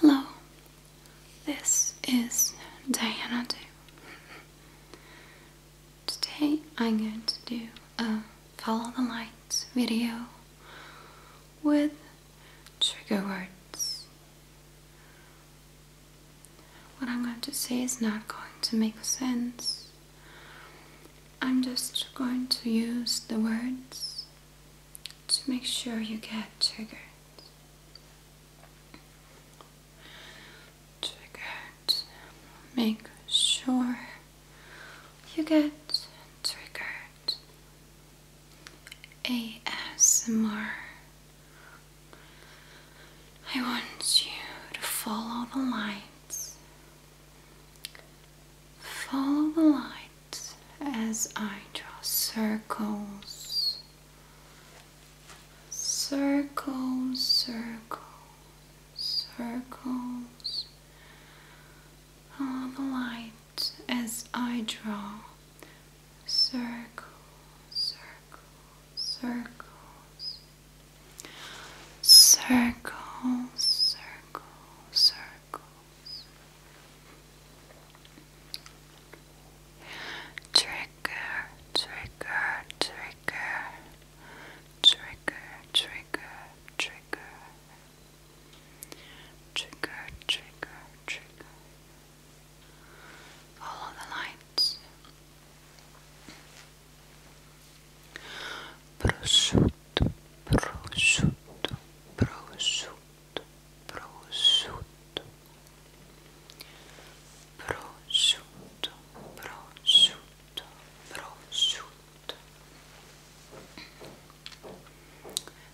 Hello, this is Diana Today I'm going to do a follow the lights video with trigger words. What I'm going to say is not going to make sense. I'm just going to use the words to make sure you get triggered. Triggered. Make sure you get triggered. ASMR. I want you to follow the lights. Follow the light as I draw circles. Circles, circles, circles. Follow the light as I draw circles, circles, circles. Circles, circles, circles. Trigger, trigger, trigger, trigger, trigger, trigger, trigger, trigger, trigger. Follow the lights. prosciutto, prosciutto, prosciutto, prosciutto, prosciutto, prosciutto, prosciutto.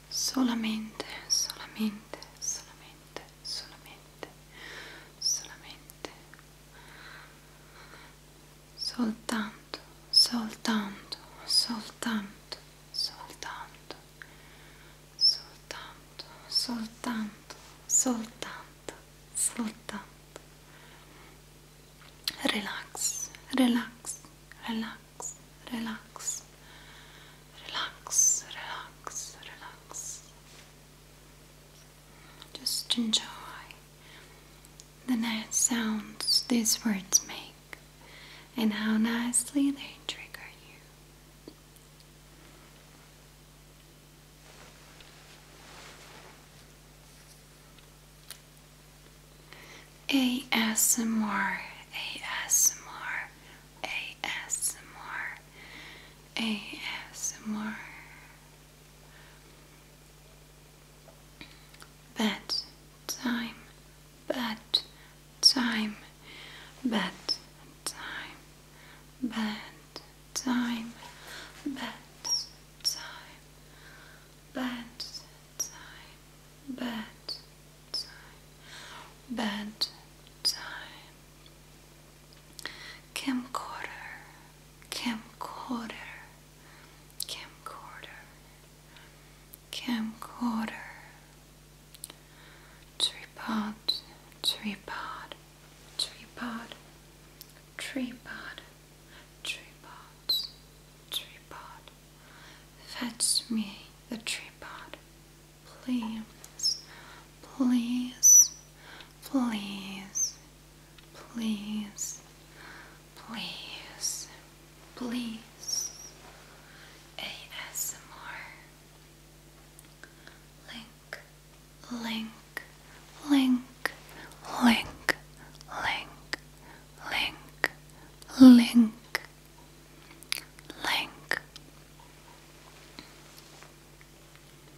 Solamente, solamente, solamente, solamente, solamente soltanto, soltanto, soltanto, soltanto, soltanto, soltanto, soltanto, soltanto. Relax, relax, relax, relax, relax, relax, relax. Just enjoy the nice sounds these words make and how nicely they trigger you. ASMR, ASMR, ASMR, ASMR, Bad time, bad time, bad time, bad time, bad time, bad time, bad time, bad time camcorder, camcorder, camcorder, camcorder, tripod, tripod, tripod, tripod, tripod, tripod. Fetch me the tripod, please, Please, please, please, please, please. ASMR. Link, link, link, link, link, link, link. Link.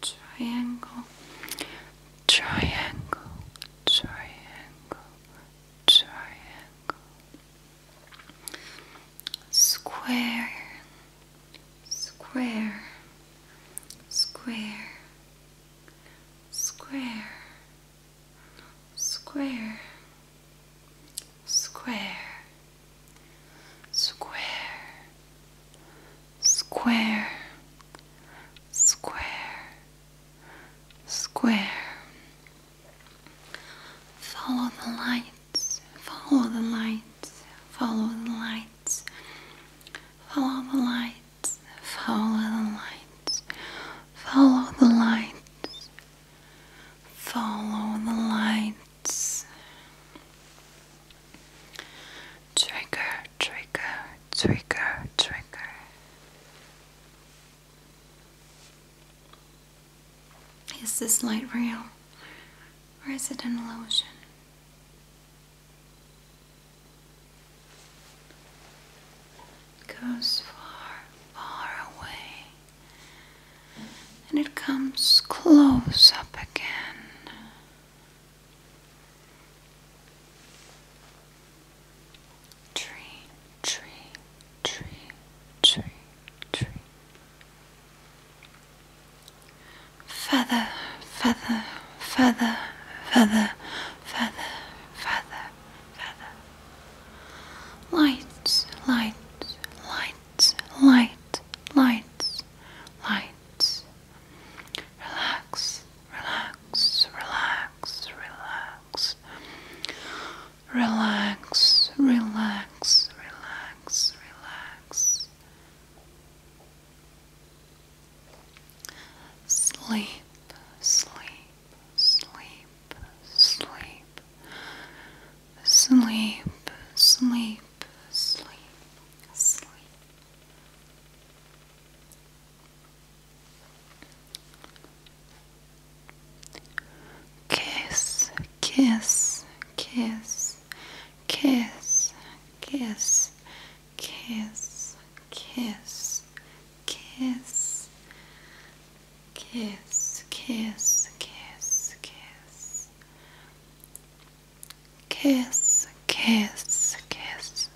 triangle, triangle, triangle, triangle, square, square, square, square, square, square, square, square, square, square. Follow the lights, follow the lights, follow the lights, follow the lights, follow the lights, follow the lights, follow the light. Trigger, trigger, trigger, trigger. Is this light real or is it an illusion? goes far, far away and it comes close up again. Tree, tree, tree, tree, tree. Feather, feather, feather, feather, feather, feather, feather. Lights, lights, lights lights, light, lights, lights. Relax, relax, relax, relax. Relax, relax, relax, relax. Sleep, sleep, sleep, sleep sleep, sleep, sleep, sleep. Kiss, kiss, kiss, kiss, kiss, kiss, kiss, kiss, kiss, kiss, kiss, kiss, kiss, kiss, kiss.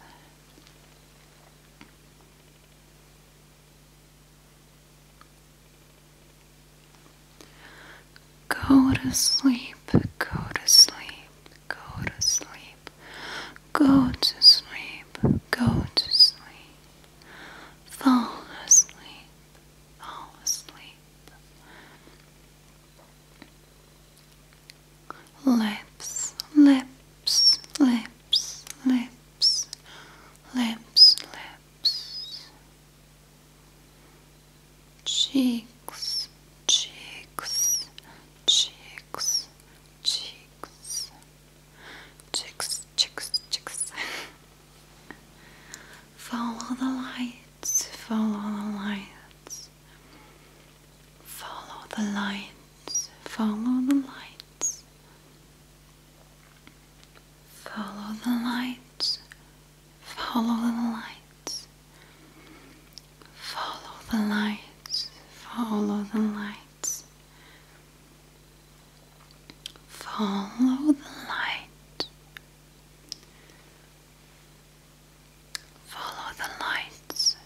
Go to sleep, go to sleep, go to sleep, go to sleep, go to sleep, fall asleep, fall asleep. Lips, lips, lips, lips, lips, lips. Cheeks, cheeks, cheeks, cheeks. Chicks, chicks, chicks. follow the lights, follow the lights. Follow the lights, follow the lights. Follow the lights, follow the lights. Follow the lights, follow the lights. Follow the light. Follow the lights.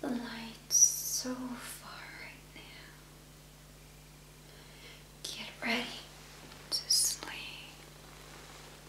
The light's so far right now. Get ready to sleep.